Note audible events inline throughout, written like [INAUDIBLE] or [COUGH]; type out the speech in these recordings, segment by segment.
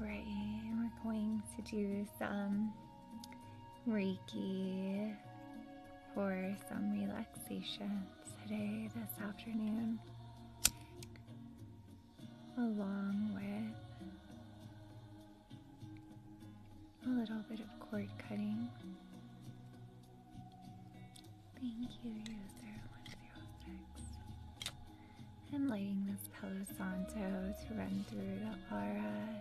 right, we're going to do some um, Reiki, for some relaxation today, this afternoon, along with a little bit of cord cutting. Thank you, user I'm lighting this Palo Santo to run through the aura,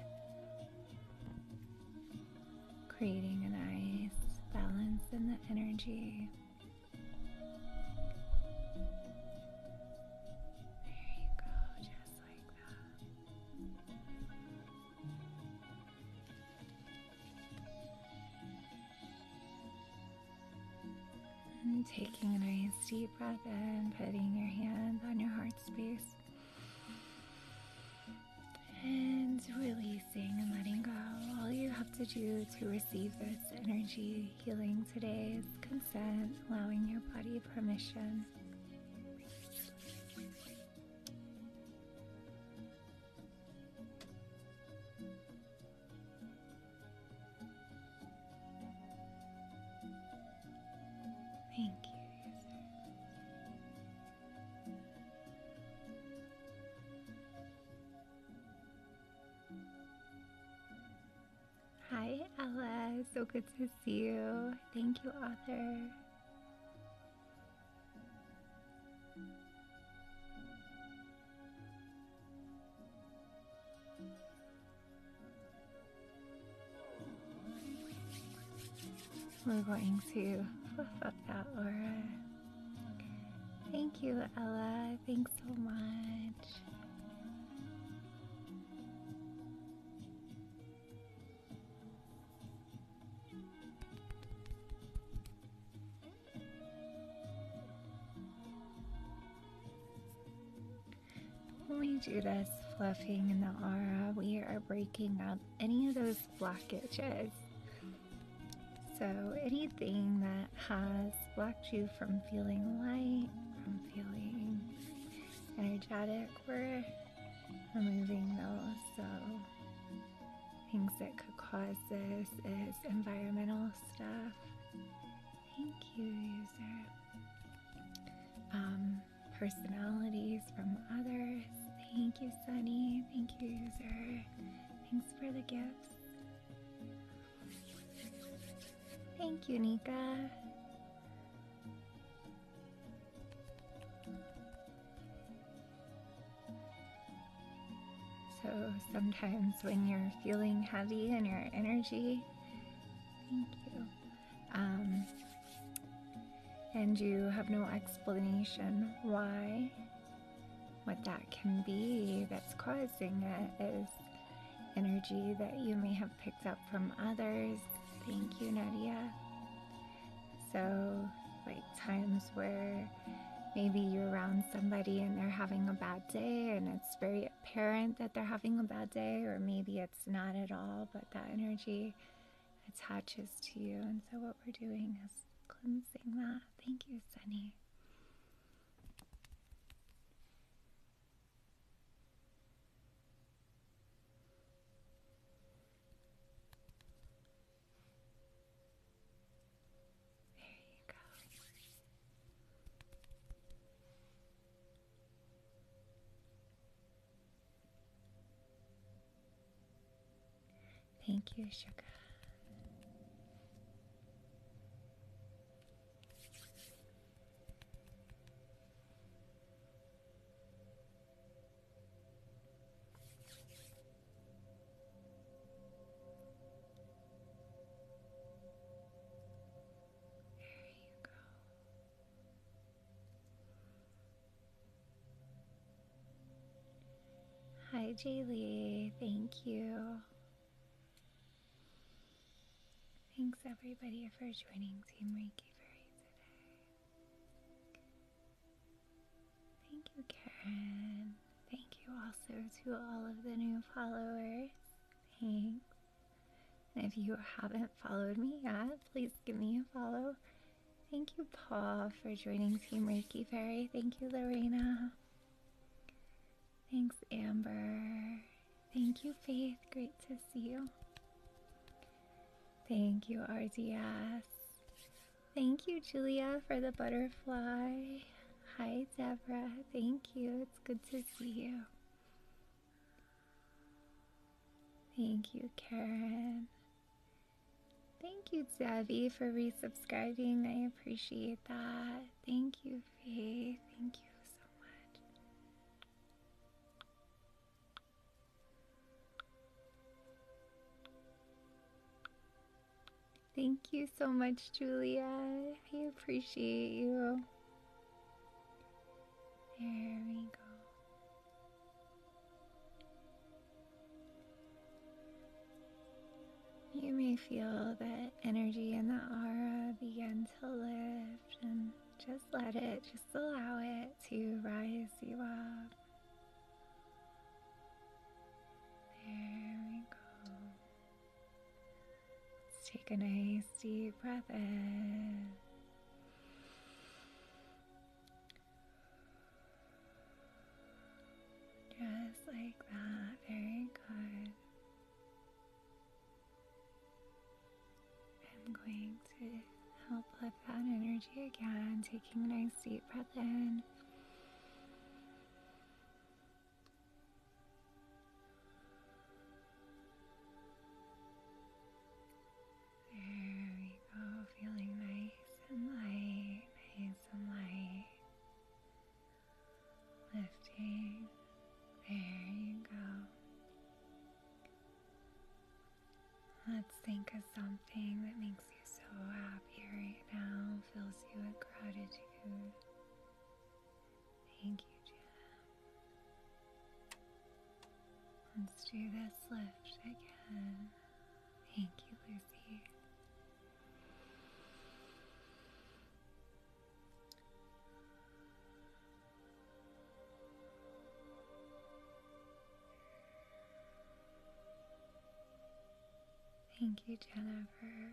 creating a nice balance in the energy. There you go, just like that taking a nice deep breath and putting your hand on your heart space. And releasing and letting go. All you have to do to receive this energy healing today is consent, allowing your body permission. Thank you, Hi, Ella. So good to see you. Thank you, Arthur. We're going to fluff up that aura. Thank you, Ella. Thanks so much. When we do this fluffing in the aura, we are breaking up any of those blockages. So, anything that has blocked you from feeling light, from feeling energetic, we're removing those. So, things that could cause this is environmental stuff. Thank you, user um, personalities from others. Thank you, Sunny. Thank you, user. Thanks for the gifts. Thank you, Nika. So sometimes when you're feeling heavy in your energy, thank you. Um, and you have no explanation why what that can be that's causing it is energy that you may have picked up from others. Thank you, Nadia. So, like times where maybe you're around somebody and they're having a bad day, and it's very apparent that they're having a bad day, or maybe it's not at all, but that energy attaches to you. And so, what we're doing is cleansing that. Thank you, Sunny. There you go. Thank you, sugar. There you go. Hi, Jaylee. Thank you. Thanks, everybody, for joining Team Reiki Fairy today. Thank you, Karen. Thank you also to all of the new followers. Thanks. And if you haven't followed me yet, please give me a follow. Thank you, Paul, for joining Team Reiki Fairy. Thank you, Lorena. Thanks, Amber. Thank you, Faith. Great to see you. Thank you, RDS. Thank you, Julia, for the butterfly. Hi, Deborah. Thank you. It's good to see you. Thank you, Karen. Thank you, Debbie, for resubscribing. I appreciate that. Thank you, Faith. Thank you so much. Thank you so much, Julia. I appreciate you. There we go. You may feel that energy in the aura begin to lift, and just let it, just allow it to rise you up. There we go. Let's take a nice deep breath in. Just like that, very good. I'm going to help lift that energy again, taking a nice deep breath in there we go, feeling nice and light, nice and light. Lifting. There you go. Let's think of something that makes you so happy right now, fills you with gratitude. Thank you, Jen. Let's do this lift again. Thank you, Lucy. Thank you, Jennifer.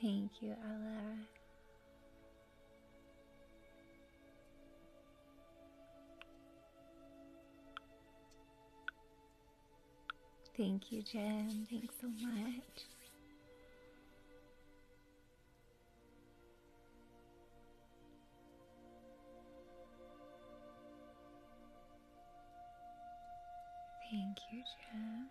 Thank you, Ella. Thank you, Jen. Thanks so much. Thank you, Jen.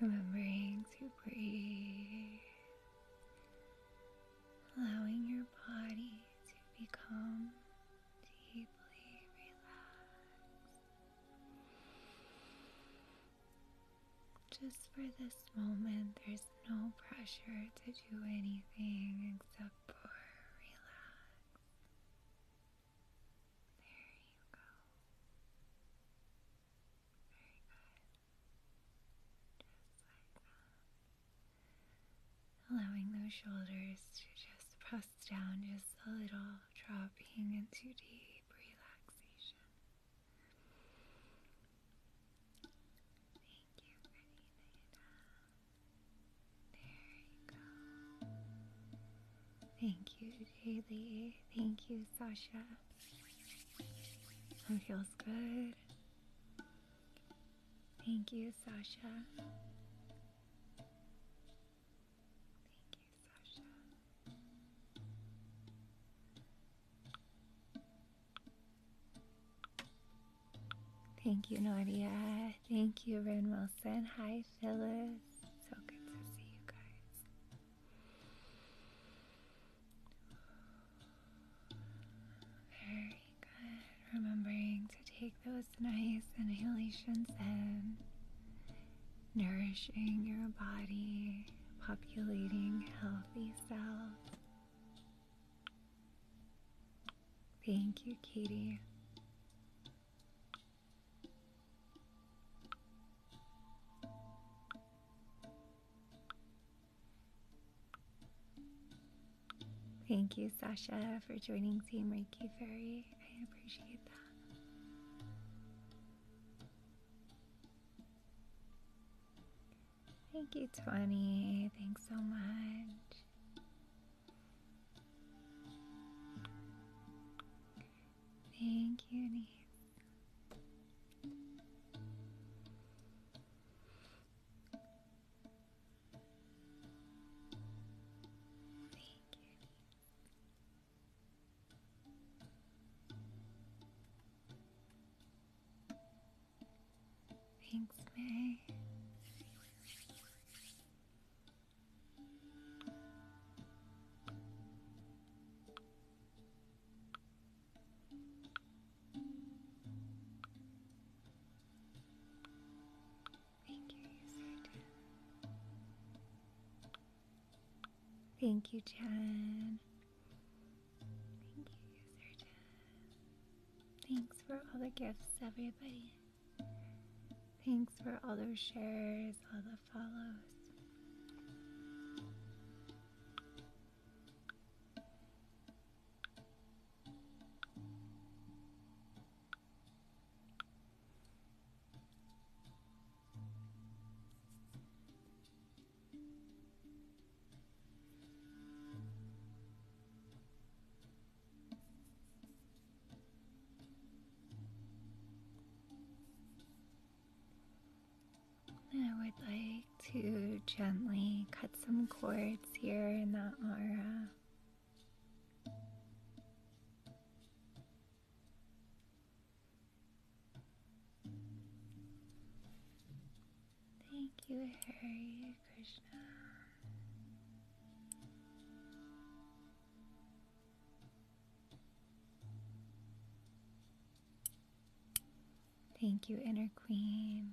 Remembering to breathe, allowing your body to become deeply relaxed. Just for this moment, there's no pressure to do anything except for relax. There you go. Allowing those shoulders to just press down just a little, dropping into deep relaxation. Thank you, pretty There you go. Thank you, Jaylee. Thank you, Sasha. That feels good. Thank you, Sasha. Thank you, Sasha. Thank you, Nadia. Thank you, Ren Wilson. Hi, Phyllis. So good to see you guys. Very good. Remembering to take those nice inhalations and nourishing your body, populating healthy cells. Thank you, Katie. Thank you, Sasha, for joining Team Reiki Fairy. I appreciate that. Thank you, 20. Thanks so much. Thank you, Nice. Thank you. Thanks, May. Thank you, Satan. Thank you, Jen. Thank you, user Jen. Thanks for all the gifts, everybody. Thanks for all those shares, all the follows. I would like to gently cut some cords here in that aura. Thank you, Harry Krishna. Thank you, Inner Queen.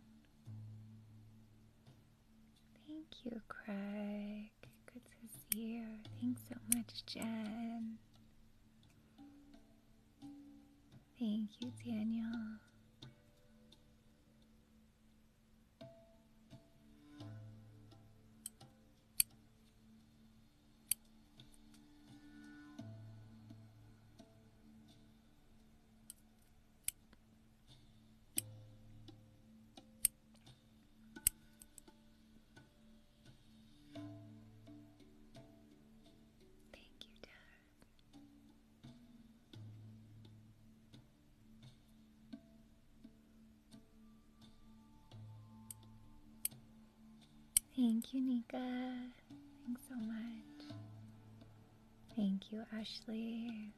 Thank you, Craig. Good to see you. Thanks so much, Jen. Thank you, Daniel. Thank you, Dad. Thank you, Nika. Thanks so much. Thank you, Ashley.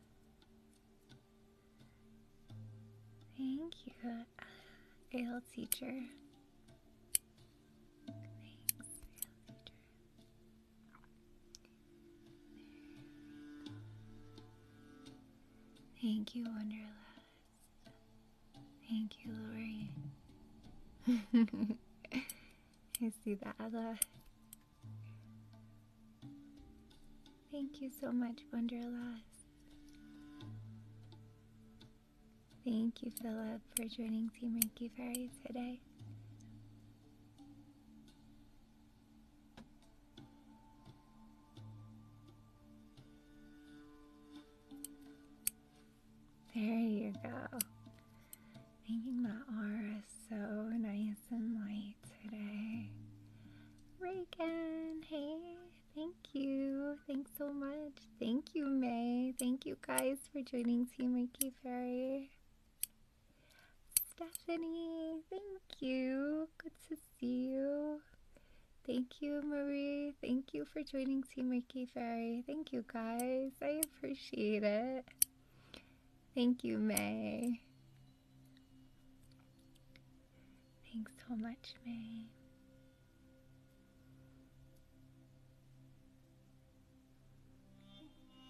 Thank you, uh, AL teacher. Thanks, AL teacher. Thank you, Wonderland. Thank you, Lori. [LAUGHS] I see that, Ella. Thank you so much, Wonderlust. Thank you, Philip, for joining Team Rinky Fairy today. There you go. Making my aura so nice and light today. Reagan, hey, thank you. Thanks so much. Thank you, May. Thank you guys for joining Team Reiki Fairy. Stephanie, thank you. Good to see you. Thank you, Marie. Thank you for joining Team Ricky Fairy. Thank you guys. I appreciate it. Thank you, May. Thanks so much, May.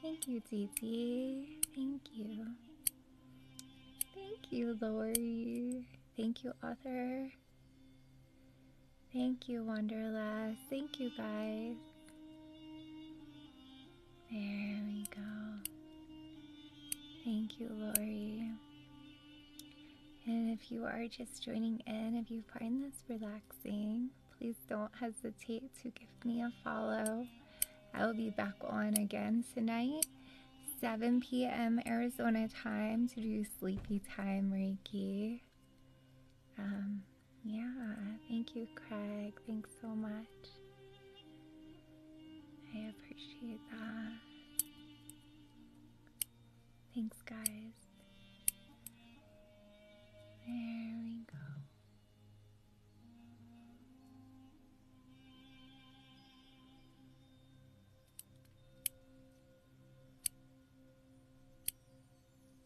Thank you, Didi. Thank you. Thank you, Lori. Thank you, Author. Thank you, Wanderlust. Thank you, guys. There we go. Thank you, Lori. And if you are just joining in, if you find this relaxing, please don't hesitate to give me a follow. I will be back on again tonight, 7 p.m. Arizona time, to do sleepy time Reiki. Um, yeah, thank you, Craig. Thanks so much. I appreciate that. Thanks, guys. There we go.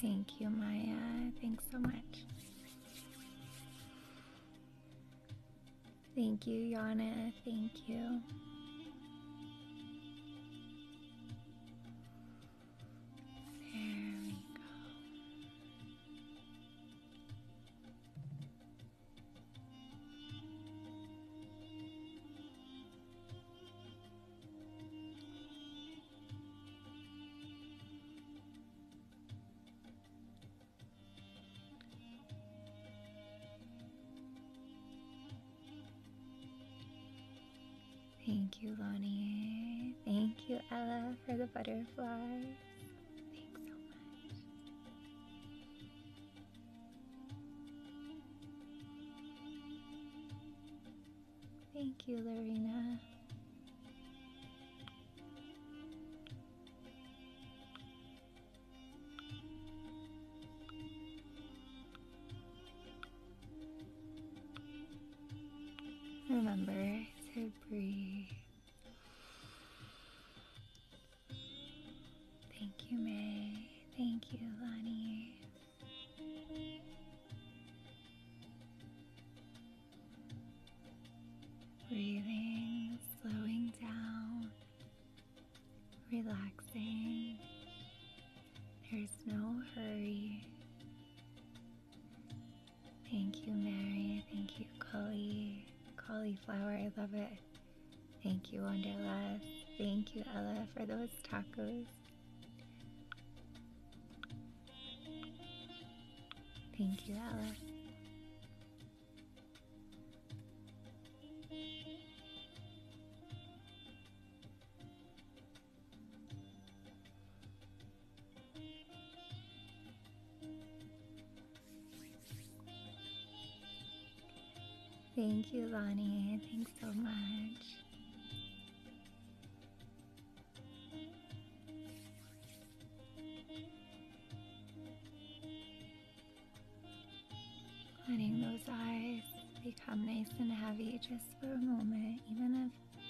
Thank you, Maya. Thanks so much. Thank you, Yana. Thank you. There we go. Thank you, Lonnie. Thank you, Ella, for the butterflies. Thanks so much. Thank you, Lorena. Remember to breathe. Thank you, May. Thank you, Lonnie. Breathing, slowing down, relaxing. There's no hurry. Thank you, Mary. Thank you, Collie. Cauliflower, I love it. Thank you, Wonderland. Thank you, Ella, for those tacos. Thank you, Alice. Thank you, Lonnie. Thanks so much. Letting those eyes become nice and heavy just for a moment, even if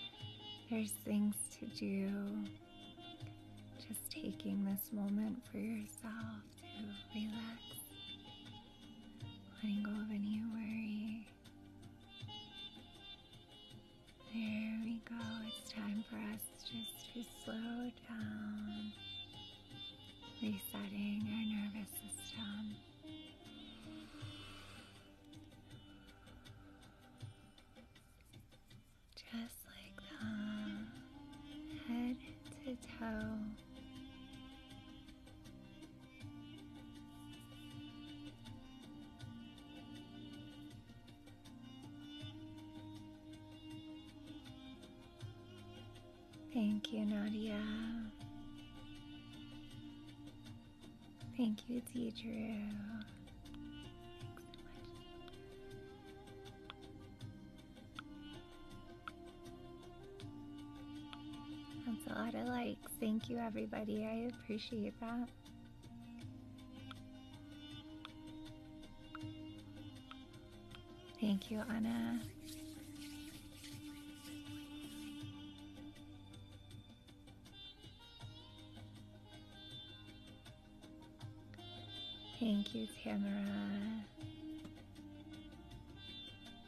there's things to do. Just taking this moment for yourself to relax, letting go of any worry. There we go. It's time for us just to slow down, resetting our nervous system. Just like that, head to toe. Thank you, Nadia. Thank you, Deidre. That's a lot of likes. Thank you, everybody. I appreciate that. Thank you, Anna. Thank you, Tamara.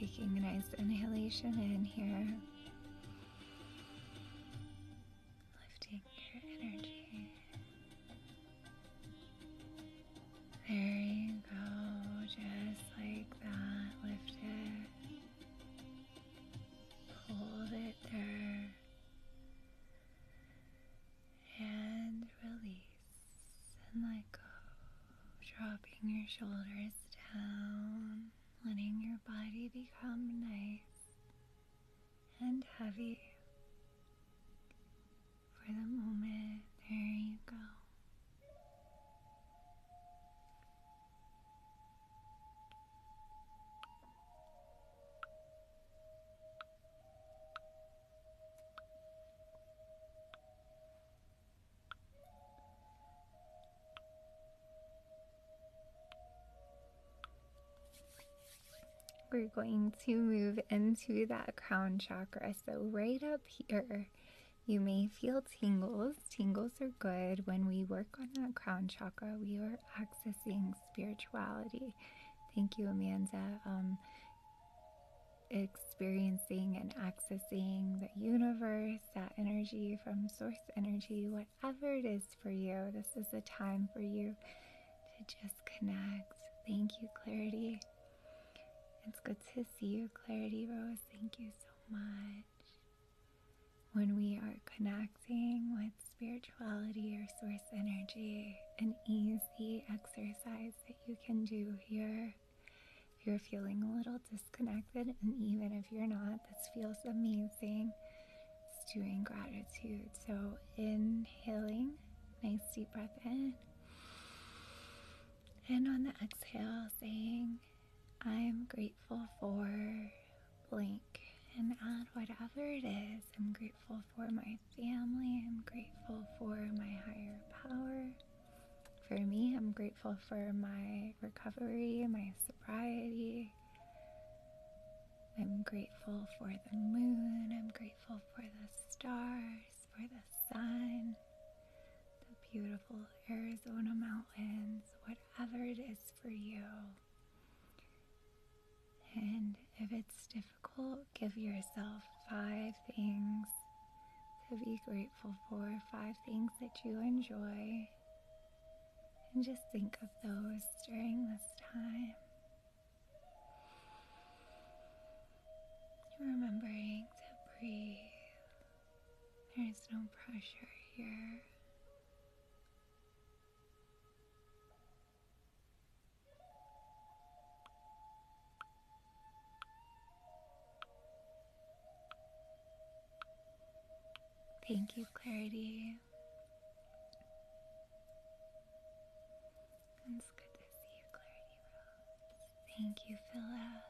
Taking a nice inhalation in here. Lifting your energy. There you go, just like that. Lift Hold it there and release and let go. Dropping your shoulders down, letting your body become nice and heavy. For the moment, there you go. We're going to move into that crown chakra. So, right up here you may feel tingles. Tingles are good. When we work on that crown chakra, we are accessing spirituality. Thank you, Amanda. Um, experiencing and accessing the universe, that energy from source energy, whatever it is for you, this is the time for you to just connect. Thank you, Clarity. It's good to see you, Clarity Rose. Thank you so much. When we are connecting with spirituality or source energy, an easy exercise that you can do here. If you're feeling a little disconnected, and even if you're not, this feels amazing. It's doing gratitude. So, inhaling, nice deep breath in. And on the exhale, saying, I'm grateful for blank and add whatever it is. I'm grateful for my family. I'm grateful for my higher power. For me, I'm grateful for my recovery, my sobriety. I'm grateful for the moon. I'm grateful for the stars, for the sun, the beautiful Arizona mountains, whatever it is for you. And if it's difficult, give yourself five things to be grateful for, five things that you enjoy. And just think of those during this time. Remembering to breathe. There is no pressure here. Thank you, Clarity. It's good to see you, Clarity Rose. Thank you, Philip.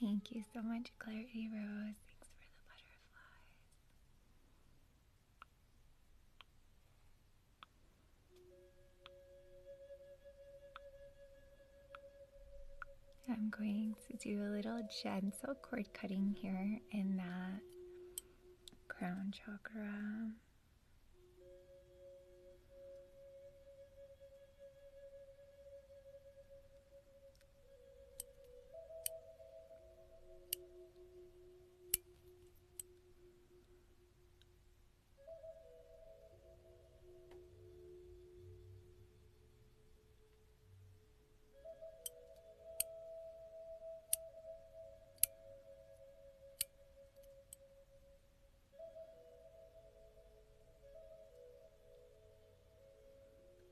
Thank you so much, Clarity Rose. Thanks for the butterflies. I'm going to do a little gentle cord cutting here in that crown chakra.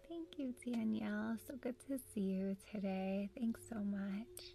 Thank you, Danielle. So good to see you today. Thanks so much.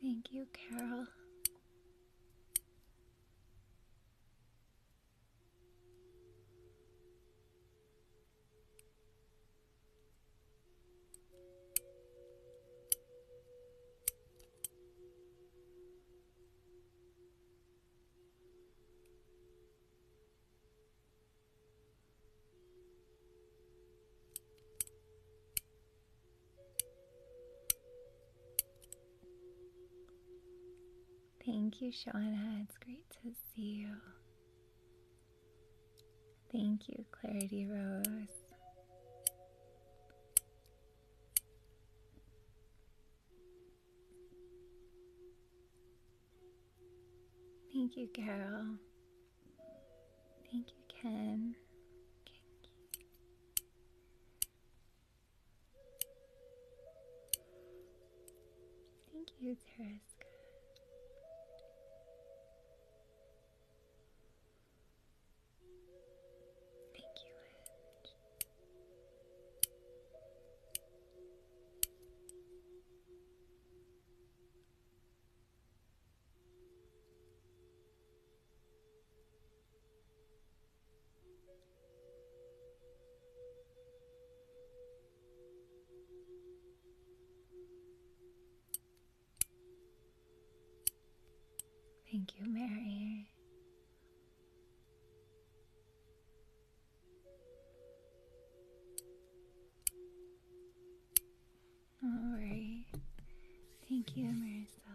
Thank you, Carol. Thank you, Shauna. It's great to see you. Thank you, Clarity Rose. Thank you, Carol. Thank you, Ken. Thank you, Tereska. Thank you, Edge. Thank you, Mary. All right. Thank you, Marcella.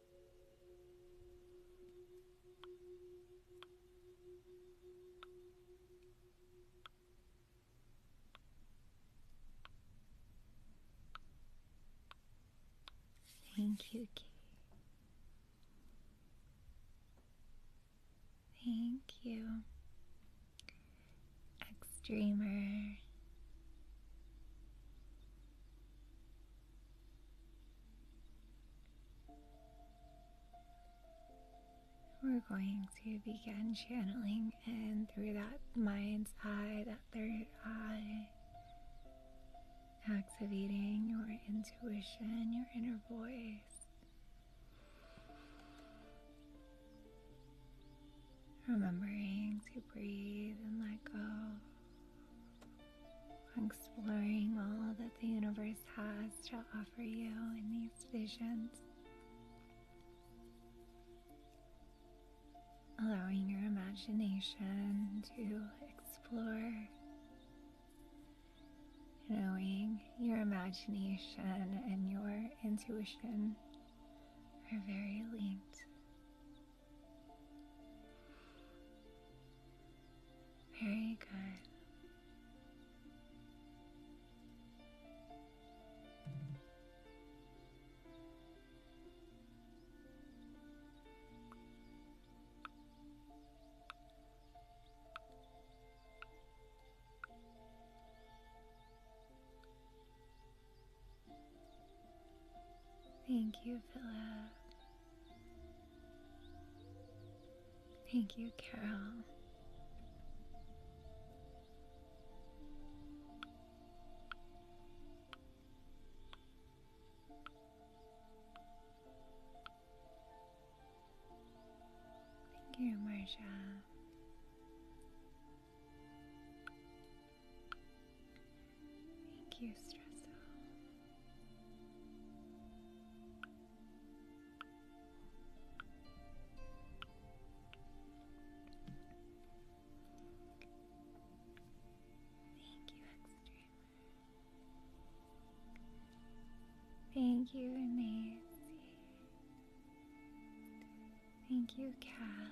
Thank you, Thank you, Extremer. We're going to begin channeling and through that mind's eye, that third eye, activating your intuition, your inner voice. Remembering to breathe and let go exploring all that the universe has to offer you in these visions. Allowing your imagination to explore, knowing your imagination and your intuition are very linked. Very good. Thank you, Philip. Thank you, Carol. Thank you, Marcia. Thank you, Stressel. Thank you, Xstreamer. Thank you, Nancy. Thank you, Kath.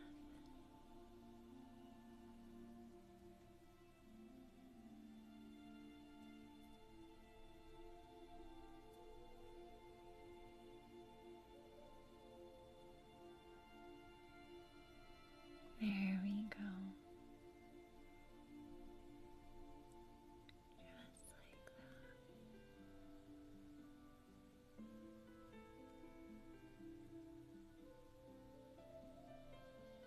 There we go. Just like that.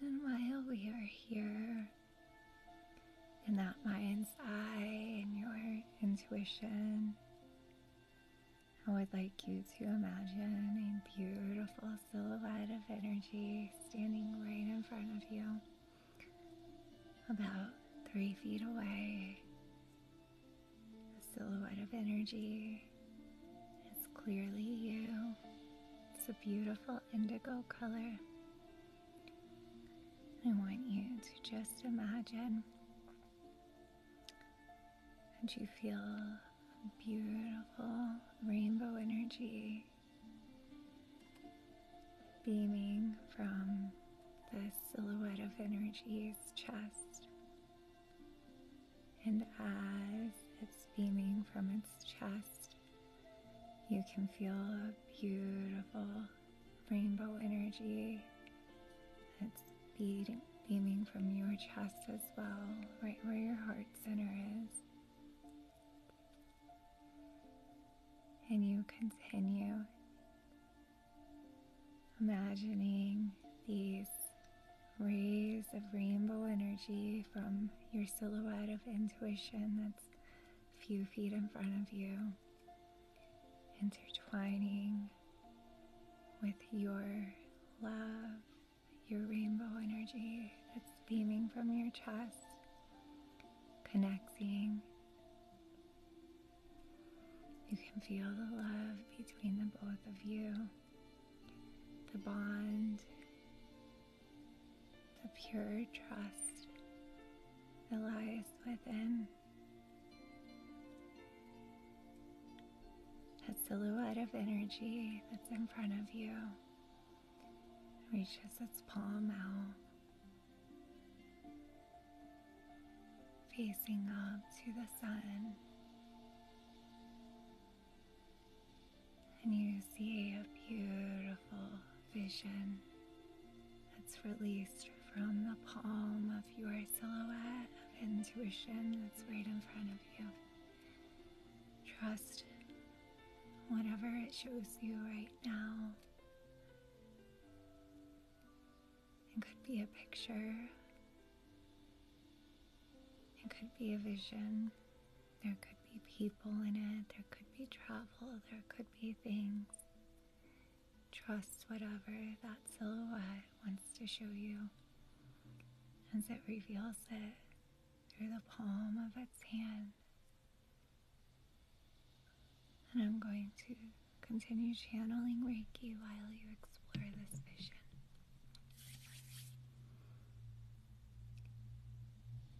And while we are here, in that mind's eye and your intuition, I would like you to imagine a beautiful silhouette of energy standing right in front of you, about three feet away. A silhouette of energy. It's clearly you. It's a beautiful indigo color. I want you to just imagine that you feel beautiful rainbow energy beaming from this silhouette of energy's chest. And as it's beaming from its chest, you can feel a beautiful rainbow energy that's beaming from your chest as well, right where your heart center is. And you continue imagining these rays of rainbow energy from your silhouette of intuition few feet in front of you, intertwining with your love, your rainbow energy that's beaming from your chest, connecting. You can feel the love between the both of you, the bond the pure trust that lies within. That silhouette of energy that's in front of you reaches its palm out, facing up to the sun and you see a beautiful vision that's released from the palm of your silhouette of intuition that's right in front of you. Trust whatever it shows you right now. It could be a picture. It could be a vision. There could be people in it, there could be travel, there could be things. Trust whatever that silhouette wants to show you as it reveals it through the palm of its hand. And I'm going to continue channeling Reiki while you explore this vision.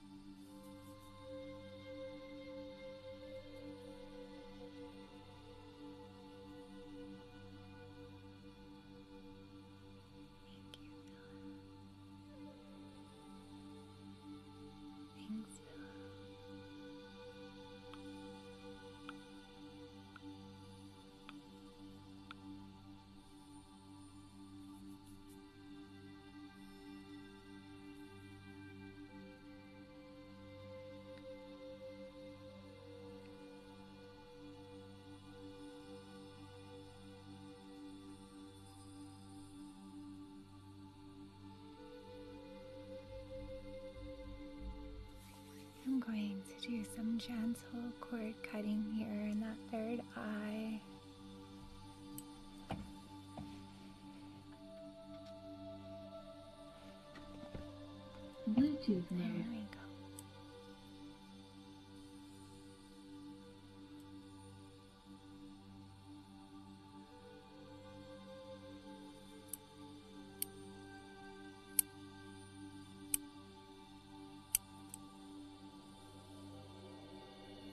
Thanks, Villa. Thanks, I'm going to do some gentle cord cutting here in that third eye. Bluetooth mode. There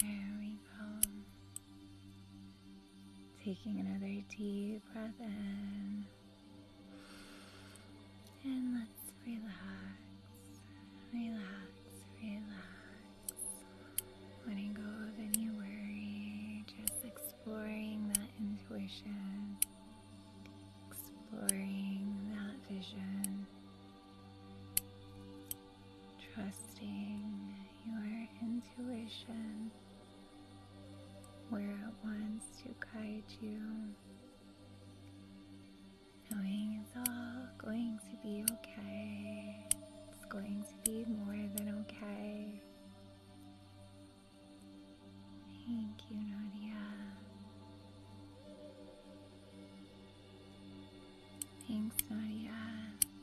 There we go. Taking another deep breath in. And let's relax, relax, relax. Letting go of any worry, just exploring that intuition, exploring that vision trusting your intuition where it wants to guide you, knowing it's all going to be okay, it's going to be more than okay. Thank you, Nadia. Thanks, Maria.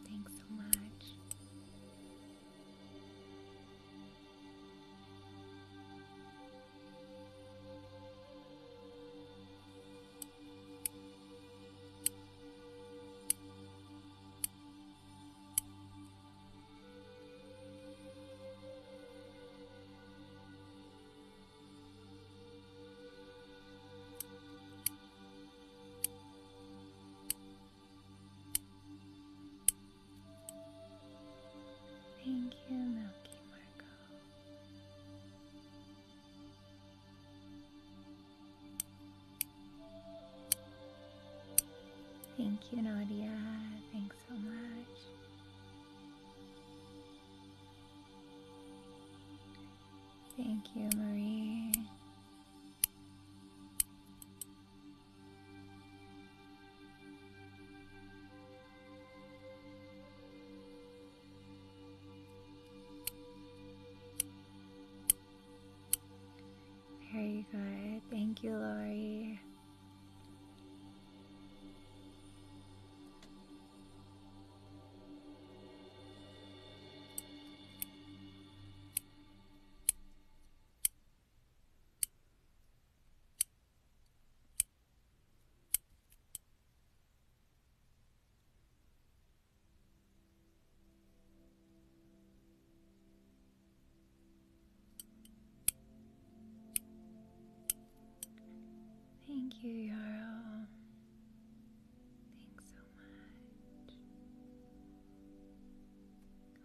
Thanks so much. Thank you, Milky Marco. Thank you, Nadia. Thanks so much. Thank you, Marie. Very good. Thank you, Lori. Thank you, Yara.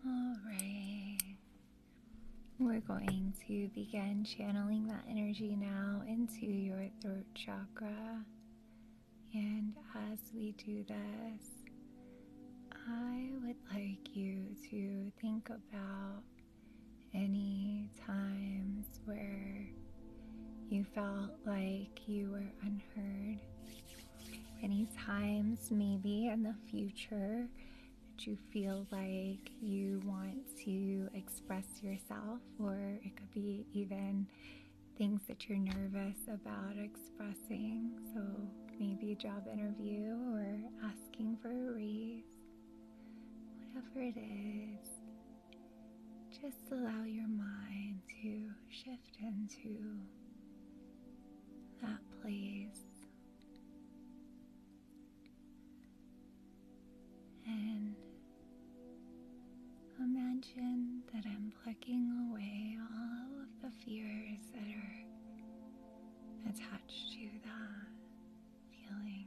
Alright. We're going to begin channeling that energy now into your throat chakra. And as we do this, I would like you to think about any times where you felt like you were unheard, any times maybe in the future that you feel like you want to express yourself, or it could be even things that you're nervous about expressing. So maybe a job interview or asking for a raise, whatever it is. Just allow your mind to shift into that place. And imagine that I'm plucking away all of the fears that are attached to that feeling.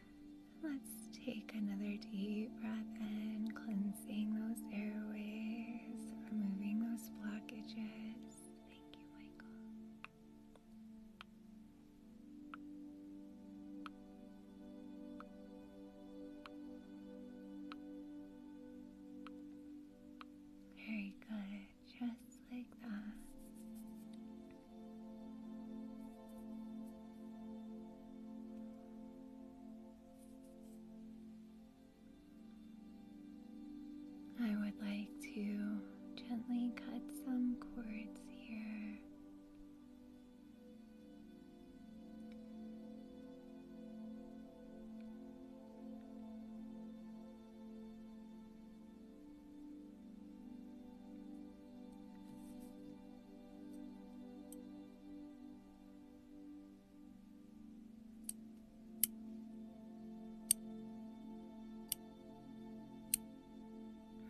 Let's take another deep breath and cleansing those airways, removing those blockages. Thank you, Michael. Very good, just like that. I would like to gently cut some cords here.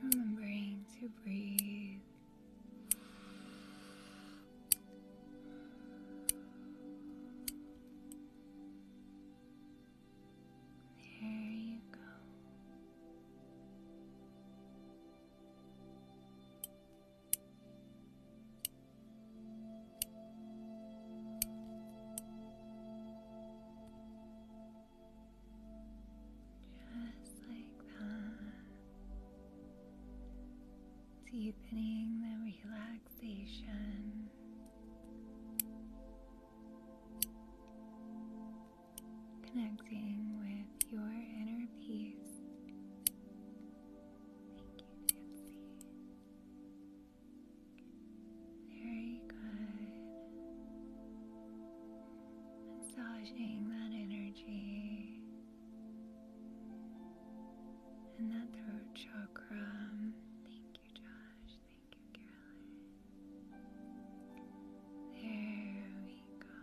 Remembering to breathe. There you go. Just like that, deepening the relaxation. Connecting with your inner peace very good. Massaging that energy and that throat chakra. Thank you, Josh. Thank you, Carolyn. There we go.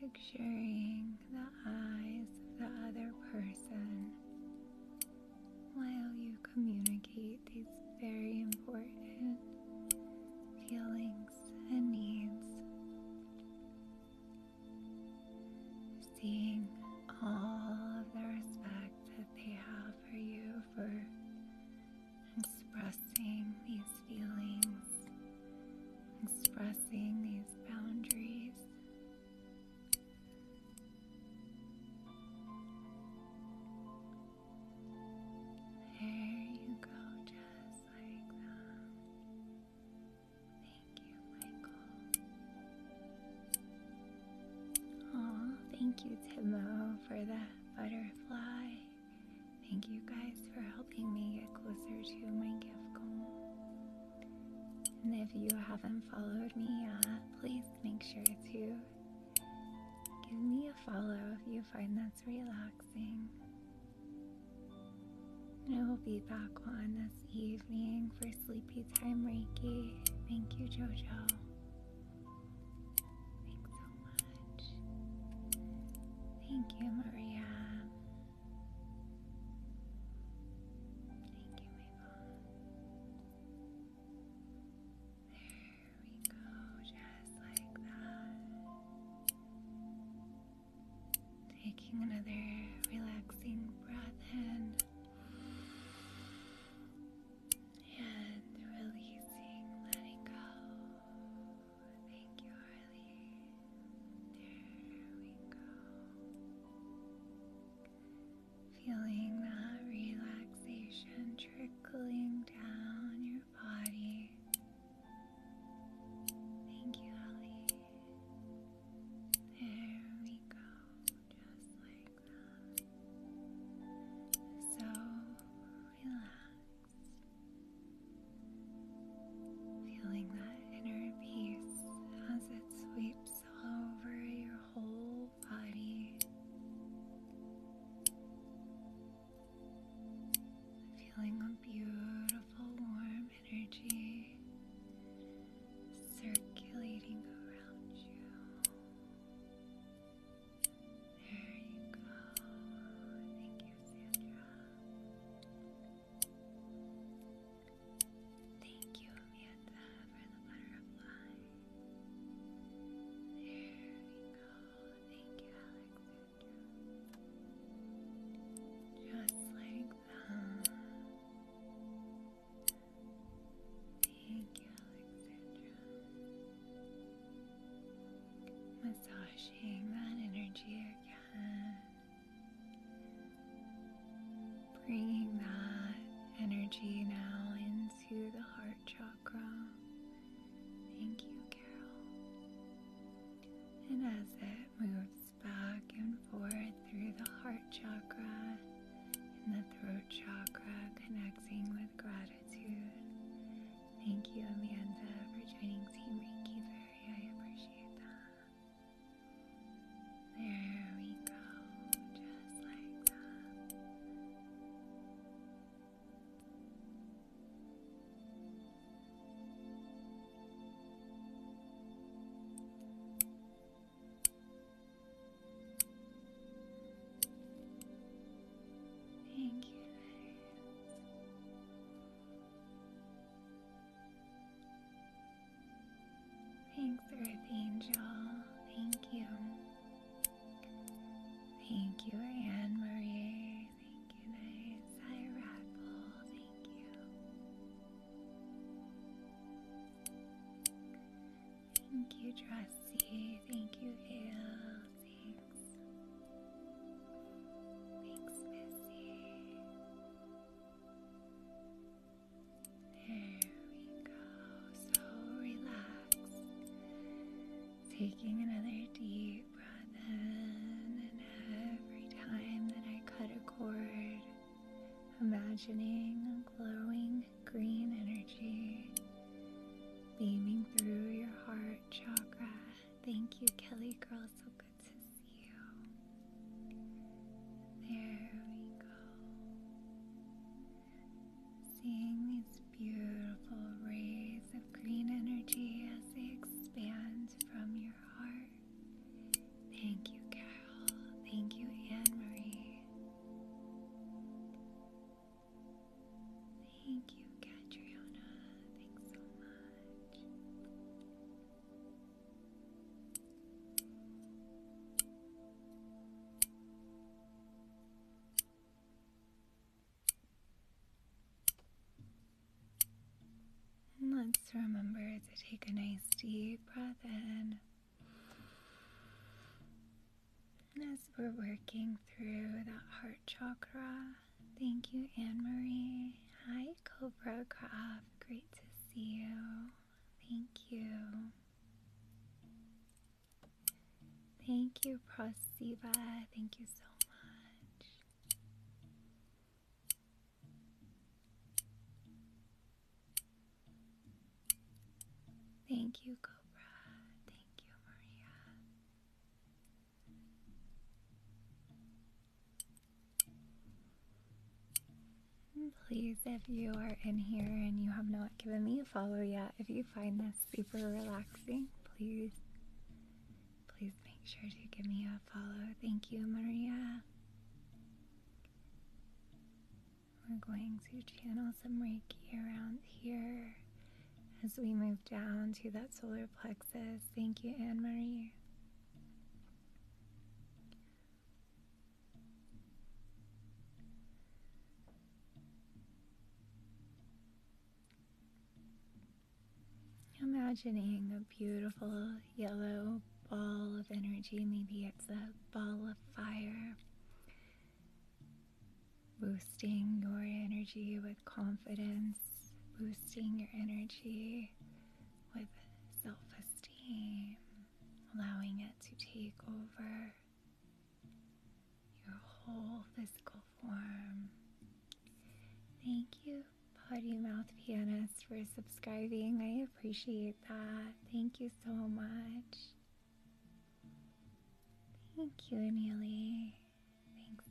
Picturing the eyes of the other person while you communicate these very important feelings and needs seeing all of the respect that they have for you for expressing these feelings, expressing these boundaries. There you go, just like that. Thank you, Michael. Oh, thank you, Timo, for the butterfly. Thank you guys for helping me get closer to my gift goal. And if you haven't followed me yet, please make sure to give me a follow if you find that's relaxing. I will be back on this evening for Sleepy Time Reiki. Thank you, Jojo. Thanks so much. Thank you, Maria. Thank you, Mabel. There we go, just like that. Taking another relaxing breath in and releasing, letting go. Thank you, Harley. There we go. Feeling that relaxation trickling down your body. Thank you, Holly. There we go, just like that. So relaxed. Feeling that inner peace as it sweeps over your whole body. Feeling a beautiful warmth energy circulating around you. There you go. Thank you, Sandra. Thank you, Amanda, for the butterfly. There we go. Thank you, Alexandra. Just like Thank you, Alexandra. Massaging that energy again. Bringing that energy now into the heart chakra. Thank you, Carol. And as it moves back and forth through the heart chakra and the throat chakra, connecting with gratitude. Thank you, Amanda, for joining Team Reiki Fairy. I appreciate that. There we go, just like that. Thank you, Thanks, Earth Angel. Thank you. Thank you, Anne Marie. Thank you, nice. Hi, Radbull. Thank you. Thank you, Trusty. Thank you, Vale. Thanks. Thanks, Missy. There we go. So relaxed. Taking another deep breath in, and every time that I cut a cord, imagining glowing green energy beaming through your heart chakra. Thank you, Kelly Girl. So good to see you. There we go. Seeing these beautiful rays of green energy as they expand from your heart Thank you, Carol. Thank you, Anne Marie. Thank you, Catriona. Thanks so much. Let's remember to take a nice deep breath in. As we're working through that heart chakra, thank you, Anne Marie. Hi, Cobra Craft. Great to see you. Thank you. Thank you, Prasiva. Thank you so much. Thank you, Cobra. Thank you, Maria. Please, if you are in here and you have not given me a follow yet, if you find this super relaxing, please, please make sure to give me a follow. Thank you, Maria. We're going to channel some Reiki around here as we move down to that solar plexus. Thank you, Anne Marie. Imagining a beautiful yellow ball of energy. Maybe it's a ball of fire. Boosting your energy with confidence, boosting your energy with self esteem, allowing it to take over your whole physical form. Thank you Potty Mouth Pianist, for subscribing. I appreciate that. Thank you so much. Thank you, Neely. Thanks.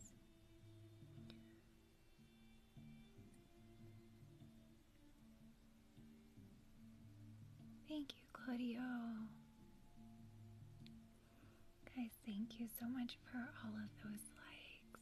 Thank you, Claudio. Guys, thank you so much for all of those likes.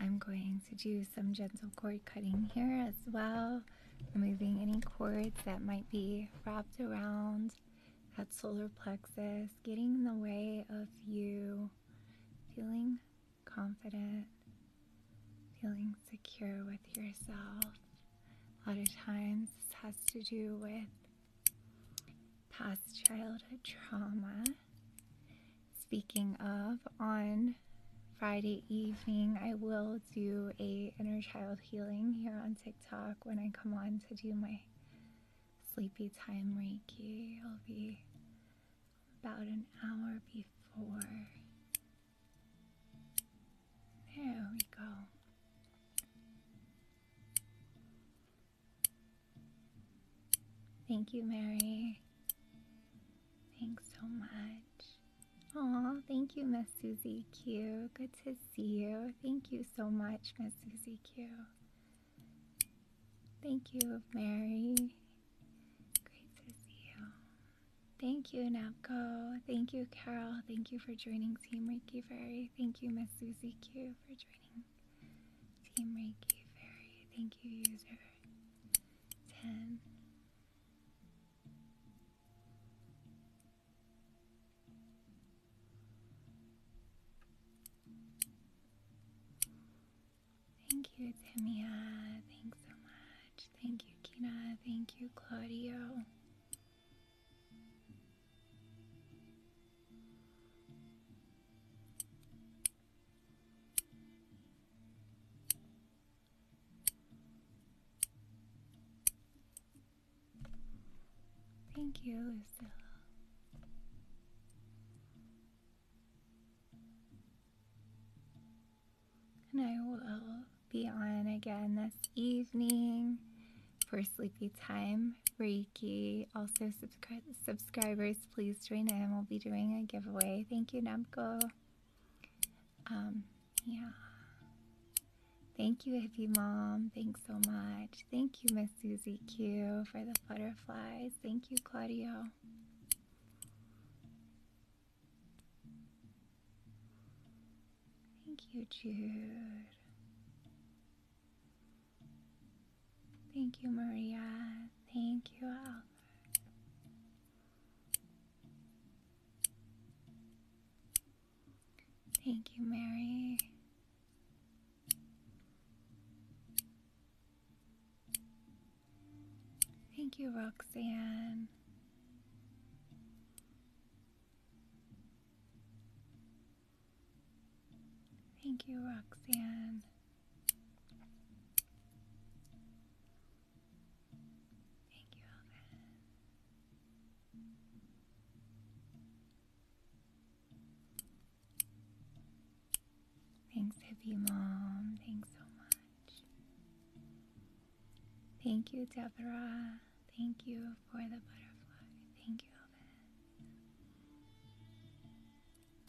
I'm going to do some gentle cord cutting here as well, removing any cords that might be wrapped around that solar plexus, getting in the way of you feeling confident, feeling secure with yourself. A lot of times, this has to do with past childhood trauma Speaking of, on Friday evening, I will do a inner child healing here on TikTok when I come on to do my sleepy time Reiki. I'll be about an hour before. There we go. Thank you, Mary. Thanks so much. Oh, thank you, Miss Susie Q. Good to see you. Thank you so much, Miss Susie Q. Thank you, Mary. Great to see you. Thank you, Napco. Thank you, Carol. Thank you for joining Team Reiki Fairy. Thank you, Miss Susie Q, for joining Team Reiki Fairy. Thank you, user ten, Thank you, Tamia. Thanks so much. Thank you, Kina. Thank you, Claudio. Thank you, Lucille. And I will be on again this evening for sleepy time Reiki. Also, subscribers, please join in. We'll be doing a giveaway. Thank you, Namco. Um, yeah. Thank you, Hippie Mom. Thanks so much. Thank you, Miss Susie Q, for the butterflies. Thank you, Claudio. Thank you, Jude. Thank you, Maria. Thank you, all. Thank you, Mary. Thank you, Roxanne. Thank you, Roxanne. Thank you, Alvin. Thanks, Hippie Mom. Thanks so much. Thank you, Deborah. Thank you for the butterfly. Thank you, Alvin.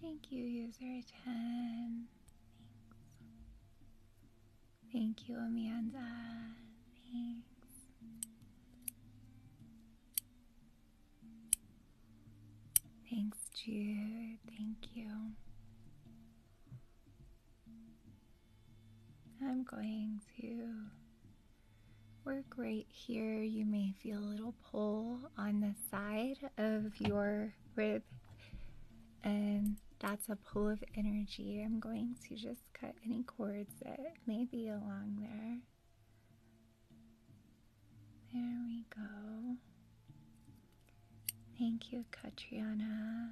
Thank you, user 10. Thank you, Amanda. Thanks. Thanks, Jude. Thank you. I'm going to work right here. You may feel a little pull on the side of your rib, and that's a pull of energy. I'm going to just cut any cords that may be along there. There we go. Thank you, Katriana.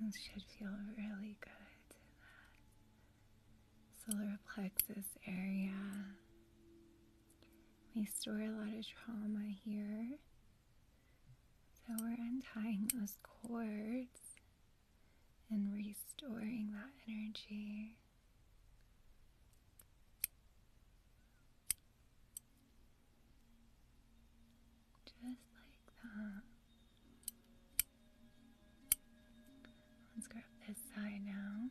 This should feel really good solar plexus area. We store a lot of trauma here. So we're untying those cords and restoring that energy. Just like that. Let's grab this side now.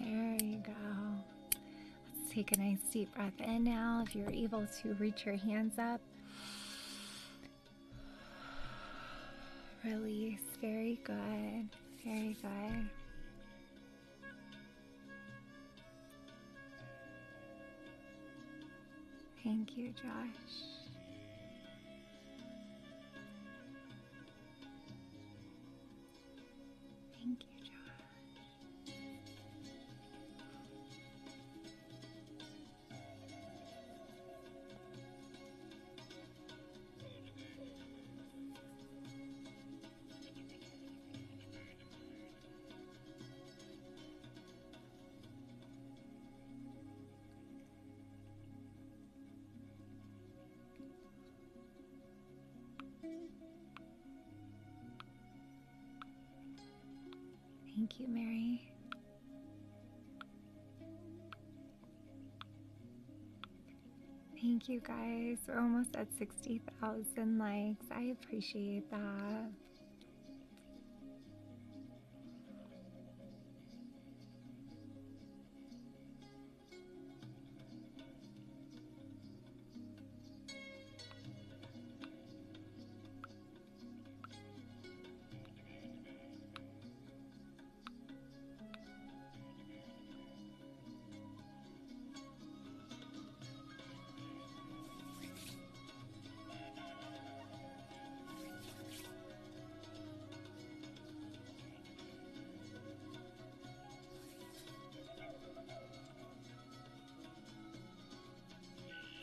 There you go. Let's take a nice deep breath in now. If you're able to reach your hands up, release. Very good. Very good. Thank you, Josh. Thank you, Josh. Thank you, Mary. Thank you guys. We're almost at 60,000 likes. I appreciate that.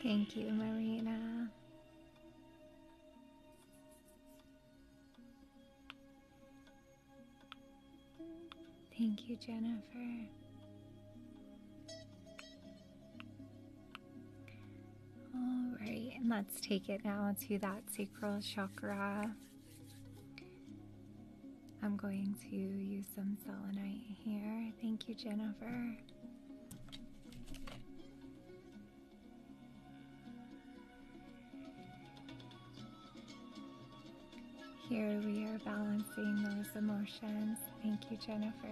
Thank you, Marina. Thank you, Jennifer. All right, and let's take it now to that sacral chakra. I'm going to use some selenite here. Thank you, Jennifer. Here we are balancing those emotions. Thank you, Jennifer.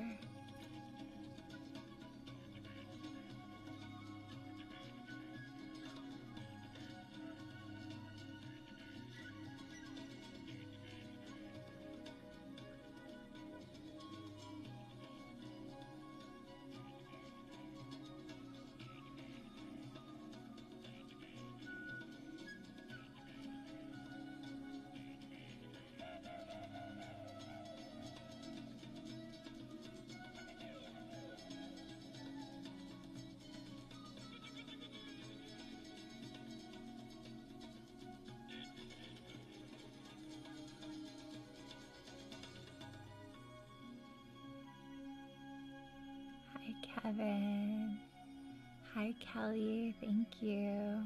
Hi, Kevin. Hi, Kelly. Thank you.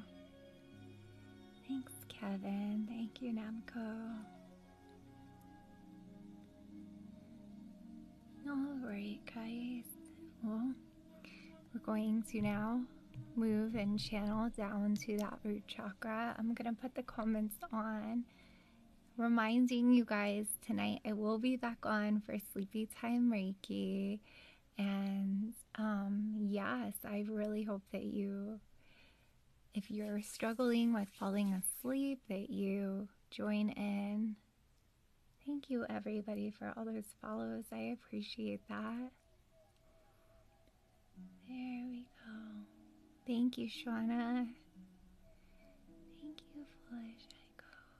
Thanks, Kevin. Thank you, Namco. Alright, guys. Well, we're going to now move and channel down to that root chakra. I'm going to put the comments on reminding you guys tonight I will be back on for Sleepy Time Reiki. And um, yes, I really hope that you, if you're struggling with falling asleep, that you join in. Thank you, everybody, for all those follows. I appreciate that. There we go. Thank you, Shauna. Thank you, Foolish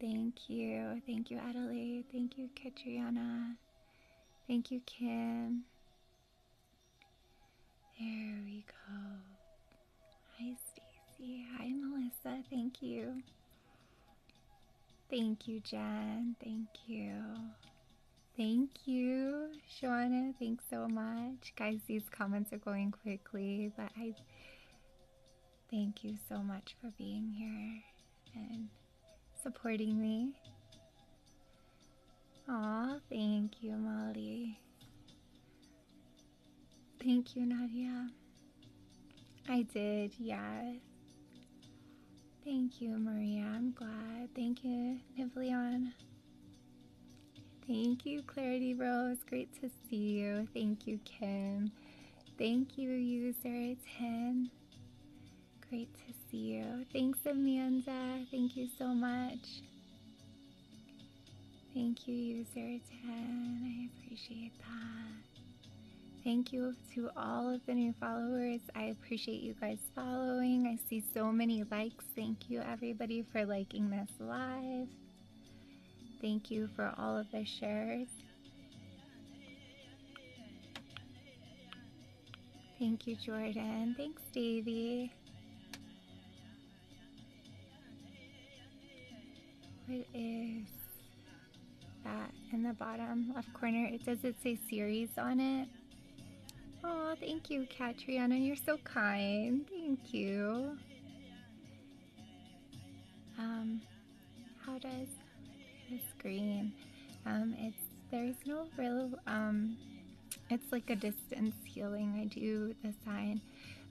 Thank you. Thank you, Adelaide. Thank you, Katriana. Thank you, Kim. There we go. Hi, Stacy. Hi, Melissa. Thank you. Thank you, Jen. Thank you. Thank you, Shawana. Thanks so much. Guys, these comments are going quickly, but Thank you so much for being here and supporting me. Aw, thank you, Molly. Thank you, Nadia. I did, yes. Thank you, Maria. I'm glad. Thank you, Nivleon. Thank you, Clarity Rose. Great to see you. Thank you, Kim. Thank you, user 10. Great to see you. Thanks, Amanda. Thank you so much. Thank you, user 10. I appreciate that. Thank you to all of the new followers. I appreciate you guys following. I see so many likes. Thank you, everybody, for liking this live. Thank you for all of the shares. Thank you, Jordan. Thanks, Davy. What is that in the bottom left corner? It does it say series on it? Oh, thank you, Katriana. You're so kind. Thank you. Um, how does it's green. Um, it's there's no real um, it's like a distance healing. I do the sign.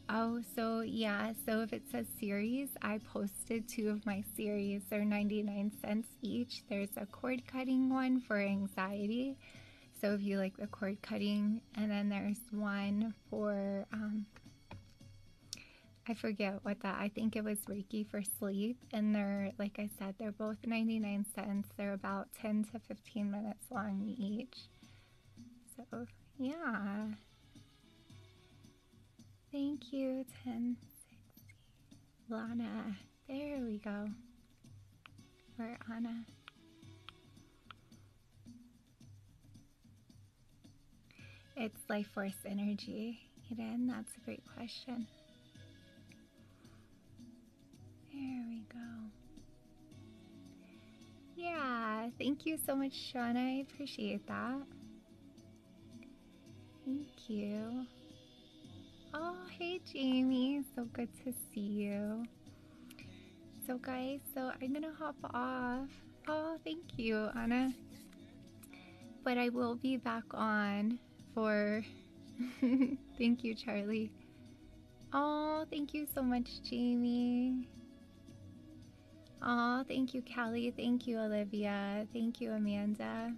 Oh, so yeah. So if it says series, I posted two of my series. They're 99 cents each. There's a cord cutting one for anxiety. So if you like the cord cutting, and then there's one for um, I forget what that. I think it was Reiki for sleep, and they're like I said, they're both ninety nine cents. They're about ten to fifteen minutes long each. So yeah. Thank you, ten sixty, Lana. There we go. we Anna. It's life force energy, Eden. That's a great question. There we go. Yeah, thank you so much, Sean. I appreciate that. Thank you. Oh, hey, Jamie. So good to see you. So, guys, so I'm gonna hop off. Oh, thank you, Anna. But I will be back on for. [LAUGHS] thank you, Charlie. Oh, thank you so much, Jamie. Oh, thank you, Callie. Thank you, Olivia. Thank you, Amanda.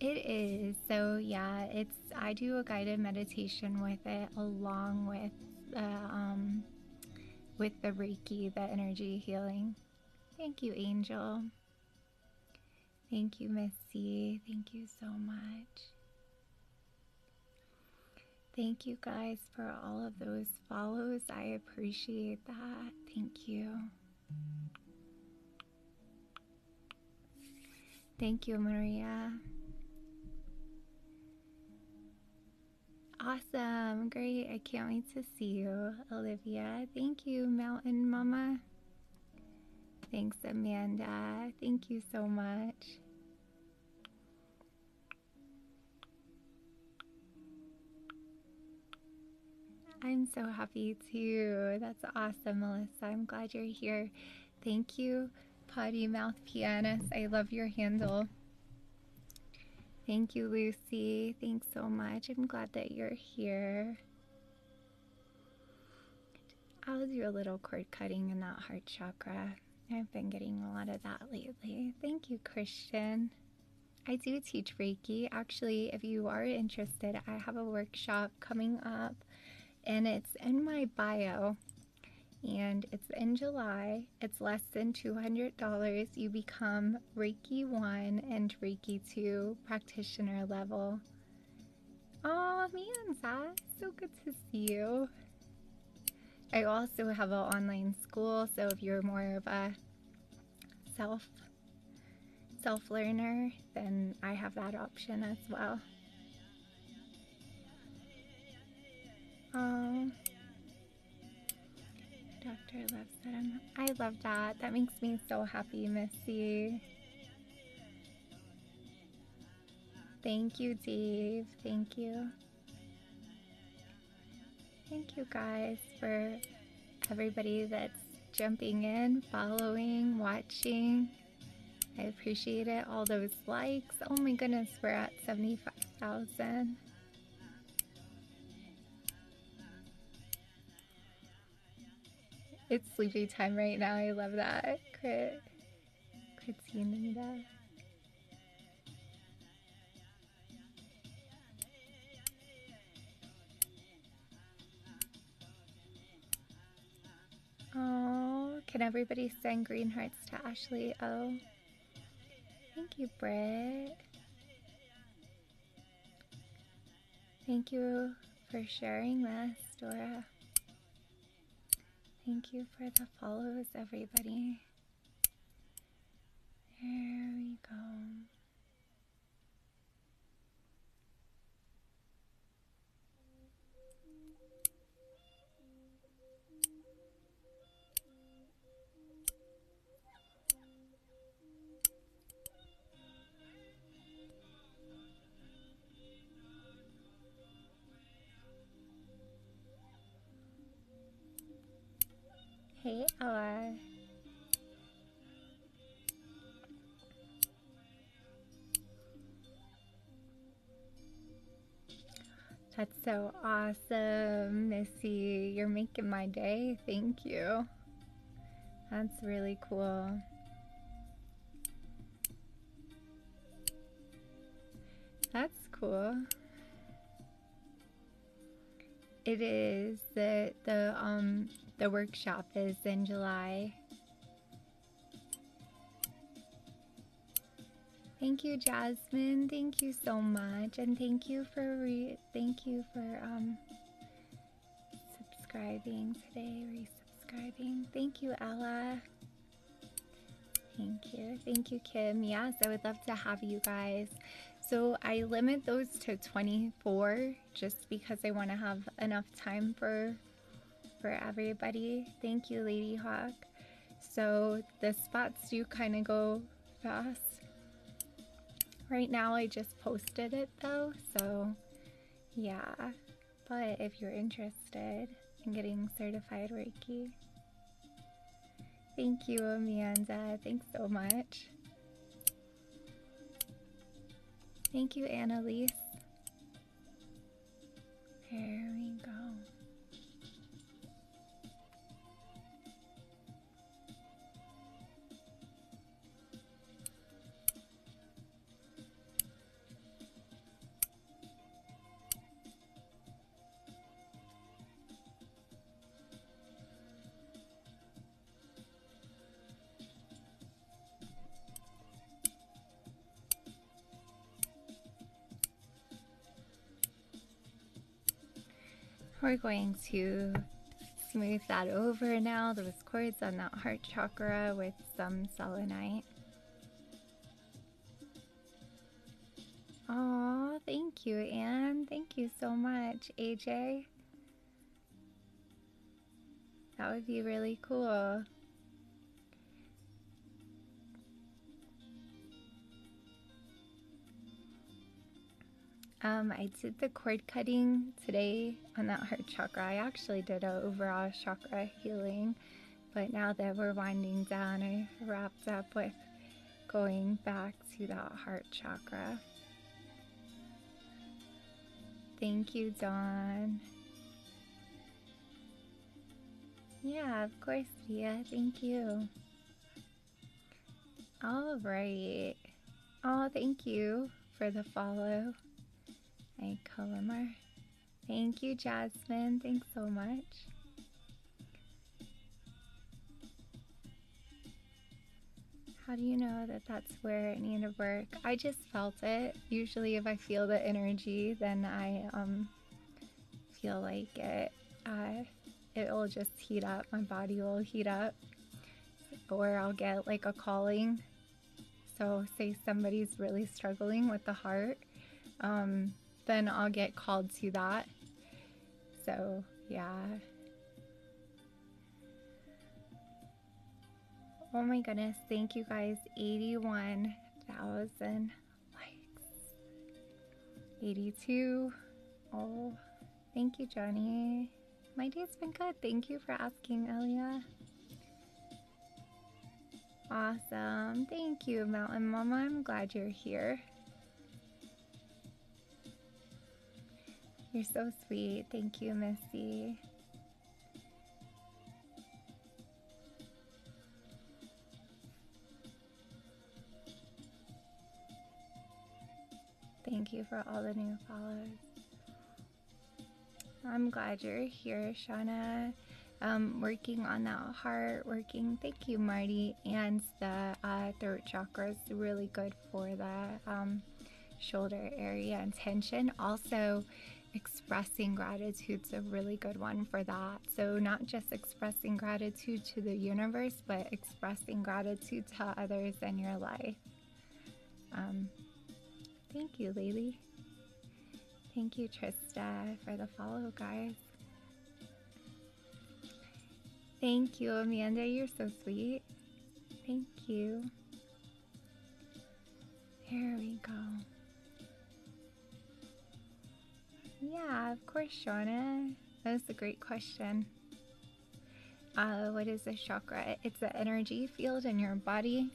It is. So, yeah, it's. I do a guided meditation with it along with the, um, with the Reiki, the energy healing. Thank you, Angel. Thank you, Missy. Thank you so much. Thank you guys for all of those follows. I appreciate that. Thank you. Thank you, Maria. Awesome. Great. I can't wait to See you, Olivia. Thank you, Mountain Mama. Thanks, Amanda. Thank you so much. I'm so happy too. That's awesome, Melissa. I'm glad you're here. Thank you, Potty Mouth Pianist. I love your handle. Thank you, Lucy. Thanks so much. I'm glad that you're here. I'll do a little cord cutting in that heart chakra. I've been getting a lot of that lately. Thank you, Christian. I do teach Reiki. Actually, if you are interested, I have a workshop coming up and it's in my bio and it's in July. It's less than $200. You become Reiki 1 and Reiki 2 practitioner level. Oh man, so good to see you. I also have an online school, so if you're more of a self self learner, then I have that option as well. Um, Dr i I love that. That makes me so happy, Missy. Thank you, Dave. Thank you. Thank you guys for everybody that's jumping in, following, watching. I appreciate it. All those likes. Oh my goodness, we're at 75,000. It's sleepy time right now. I love that. Crit. Crit's Oh, can everybody send green hearts to Ashley? Oh, thank you, Britt. Thank you for sharing this, Dora. Thank you for the follows, everybody. There we go. Hey, R. That's so awesome, Missy. You're making my day. Thank you. That's really cool. That's cool. It is the the um the workshop is in July. Thank you, Jasmine. Thank you so much, and thank you for re thank you for um subscribing today. Resubscribing. Thank you, Ella. Thank you. Thank you, Kim. Yes, I would love to have you guys. So I limit those to 24 just because I want to have enough time for for everybody. Thank you, Lady Hawk. So the spots do kind of go fast. Right now I just posted it though, so yeah. But if you're interested in getting certified Reiki, thank you, Amanda. Thanks so much. Thank you, Annalise. There we go. We're going to smooth that over now. Chords on that heart chakra with some selenite. Oh, thank you, Anne. Thank you so much, AJ. That would be really cool. Um, I did the cord cutting today on that heart chakra. I actually did an overall chakra healing, but now that we're winding down, I wrapped up with going back to that heart chakra. Thank you, Dawn. Yeah, of course, Dia. Thank you. All right. Oh, thank you for the follow. Hey, Colomar. Thank you, Jasmine. Thanks so much. How do you know that that's where it needed work? I just felt it. Usually, if I feel the energy, then I um feel like it. Uh, it'll just heat up. My body will heat up, or I'll get like a calling so, say somebody's really struggling with the heart, um, then I'll get called to that. So, yeah. Oh my goodness, thank you guys. 81,000 likes. 82. Oh, thank you, Johnny. My day's been good. Thank you for asking, Elia. Awesome. Thank you, Mountain Mama. I'm glad you're here. You're so sweet. Thank you, Missy. Thank you for all the new followers. I'm glad you're here, Shauna. Um, working on that heart, working. Thank you, Marty. And the uh, throat chakra is really good for the um, shoulder area and tension. Also, expressing gratitude is a really good one for that. So, not just expressing gratitude to the universe, but expressing gratitude to others in your life. Um, thank you, Lily. Thank you, Trista, for the follow, guys. Thank you, Amanda. You're so sweet. Thank you. Here we go. Yeah, of course, Shauna. That was a great question. Uh, what is this chakra? It's the energy field in your body.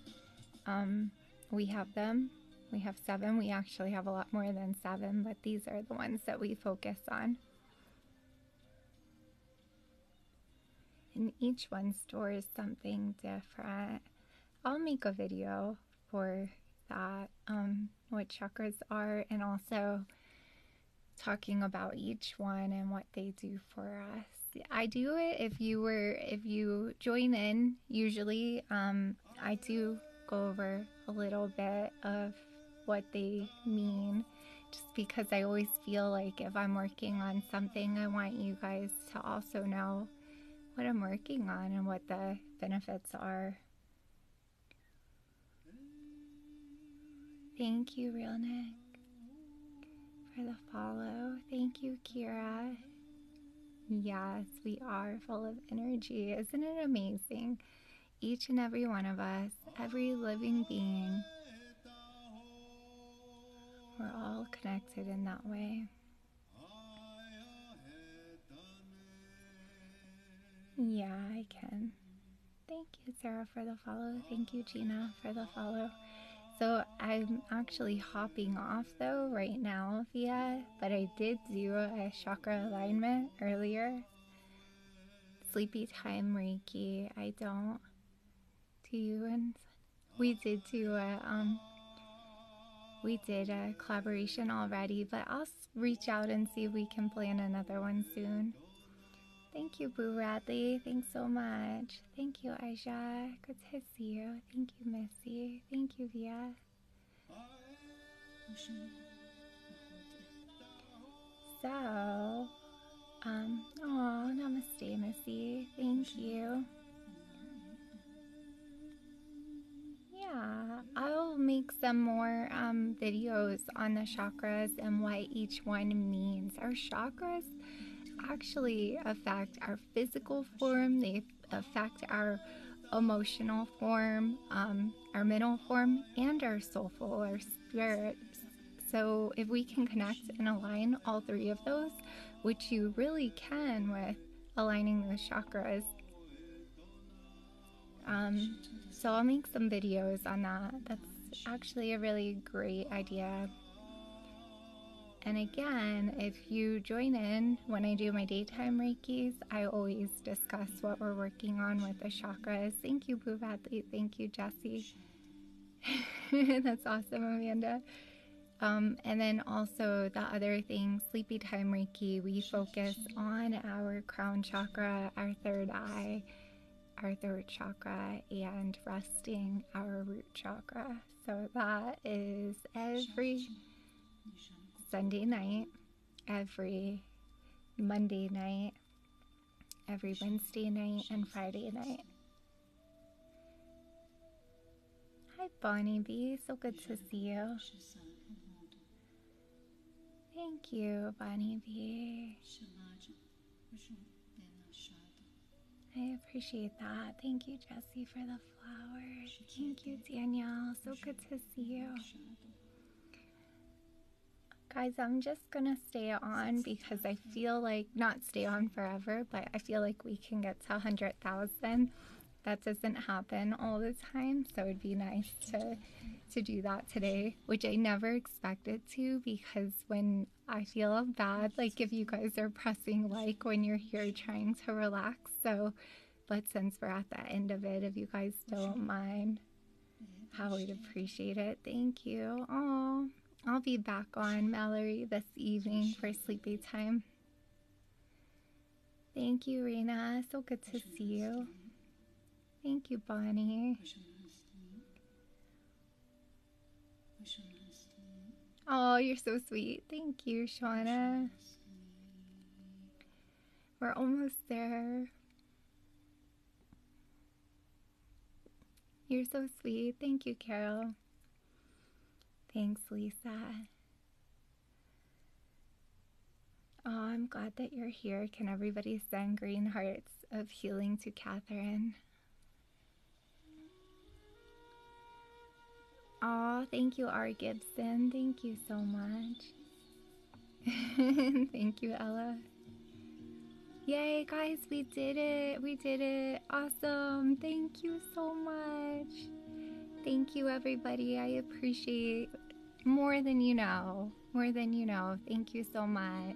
Um, we have them. We have seven. We actually have a lot more than seven, but these are the ones that we focus on. And each one stores something different. I'll make a video for that, um, what chakras are, and also talking about each one and what they do for us. I do it if you were if you join in. Usually, um, I do go over a little bit of what they mean, just because I always feel like if I'm working on something, I want you guys to also know what I'm working on and what the benefits are. Thank you, Real Nick for the follow. Thank you, Kira. Yes, we are full of energy. Isn't it amazing? Each and every one of us, every living being, we're all connected in that way. Yeah, I can. Thank you, Sarah, for the follow. Thank you, Gina, for the follow. So I'm actually hopping off though right now, Thea, but I did zero a chakra alignment earlier. Sleepy time Reiki, I don't do you and we did do a um we did a collaboration already, but I'll reach out and see if we can plan another one soon. Thank you, Boo Radley. Thanks so much. Thank you, Aisha. Good to see you. Thank you, Missy. Thank you, Via. So, um, oh, namaste, Missy. Thank you. Yeah, I'll make some more um, videos on the chakras and what each one means. Our chakras actually affect our physical form, they affect our emotional form, um, our mental form, and our soulful, our spirit. So, if we can connect and align all three of those, which you really can with aligning those chakras. Um, so, I'll make some videos on that. That's actually a really great idea. And again, if you join in when I do my daytime Reikis, I always discuss what we're working on with the chakras. Thank you, Boob Athlete. Thank you, Jesse. [LAUGHS] That's awesome, Amanda. Um, and then also the other thing, sleepy time Reiki, we focus on our crown chakra, our third eye, our third chakra, and resting our root chakra. So that is every Sunday night, every Monday night, every Wednesday night, and Friday night. Hi, Bonnie B. So good to see you. Thank you, Bonnie B. I appreciate that. Thank you, Jesse, for the flowers. Thank you, Danielle. So good to see you. Guys, I'm just gonna stay on because I feel like not stay on forever, but I feel like we can get to 100,000. That doesn't happen all the time, so it'd be nice to to do that today, which I never expected to because when I feel bad like if you guys are pressing like when you're here trying to relax. So, but since we're at the end of it, if you guys don't mind, how we would appreciate it. Thank you. Oh, I'll be back on Mallory this evening for sleepy time. Thank you, Rena. So good to see you. Thank you, Bonnie. Oh, you're so sweet. Thank you, Shauna. We're almost there. You're so sweet. Thank you, Carol. Thanks, Lisa. Oh, I'm glad that you're here. Can everybody send green hearts of healing to Catherine? Oh, thank you, R. Gibson. Thank you so much. [LAUGHS] thank you, Ella. Yay, guys, we did it. We did it. Awesome. Thank you so much. Thank you, everybody. I appreciate more than you know. More than you know. Thank you so much.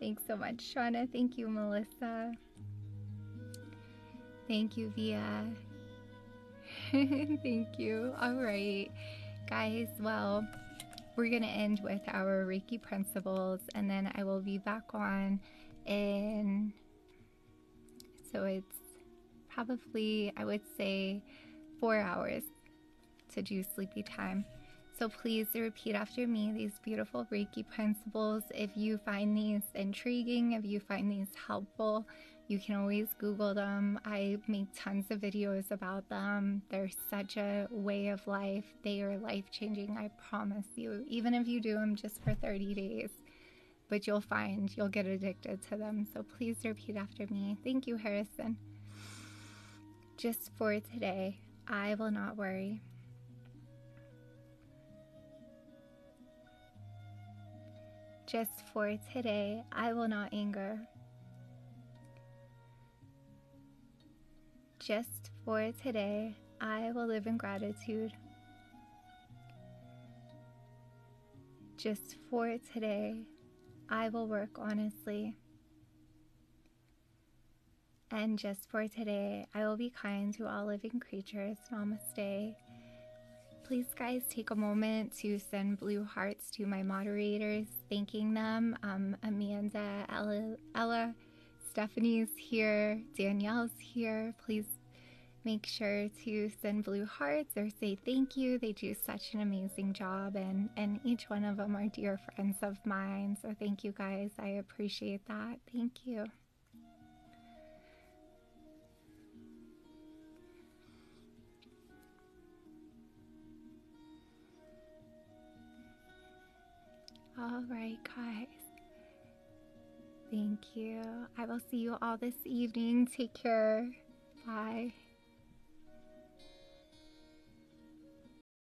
Thanks so much, Shauna. Thank you, Melissa. Thank you, Via. [LAUGHS] Thank you. All right, guys. Well, we're going to end with our Reiki principles, and then I will be back on And So it's probably, I would say, four hours to do sleepy time. So please repeat after me these beautiful Reiki principles. If you find these intriguing, if you find these helpful, you can always Google them. I make tons of videos about them. They're such a way of life. They are life changing, I promise you. Even if you do them just for 30 days, but you'll find you'll get addicted to them. So please repeat after me. Thank you, Harrison just for today. I will not worry. Just for today, I will not anger. Just for today, I will live in gratitude. Just for today, I will work honestly. And just for today, I will be kind to all living creatures. Namaste. Please, guys, take a moment to send blue hearts to my moderators, thanking them. Um, Amanda, Ella, Stephanie's here, Danielle's here. Please make sure to send blue hearts or say thank you. They do such an amazing job, and and each one of them are dear friends of mine. So thank you guys. I appreciate that. Thank you. All right, guys. Thank you. I will see you all this evening. Take care. Bye.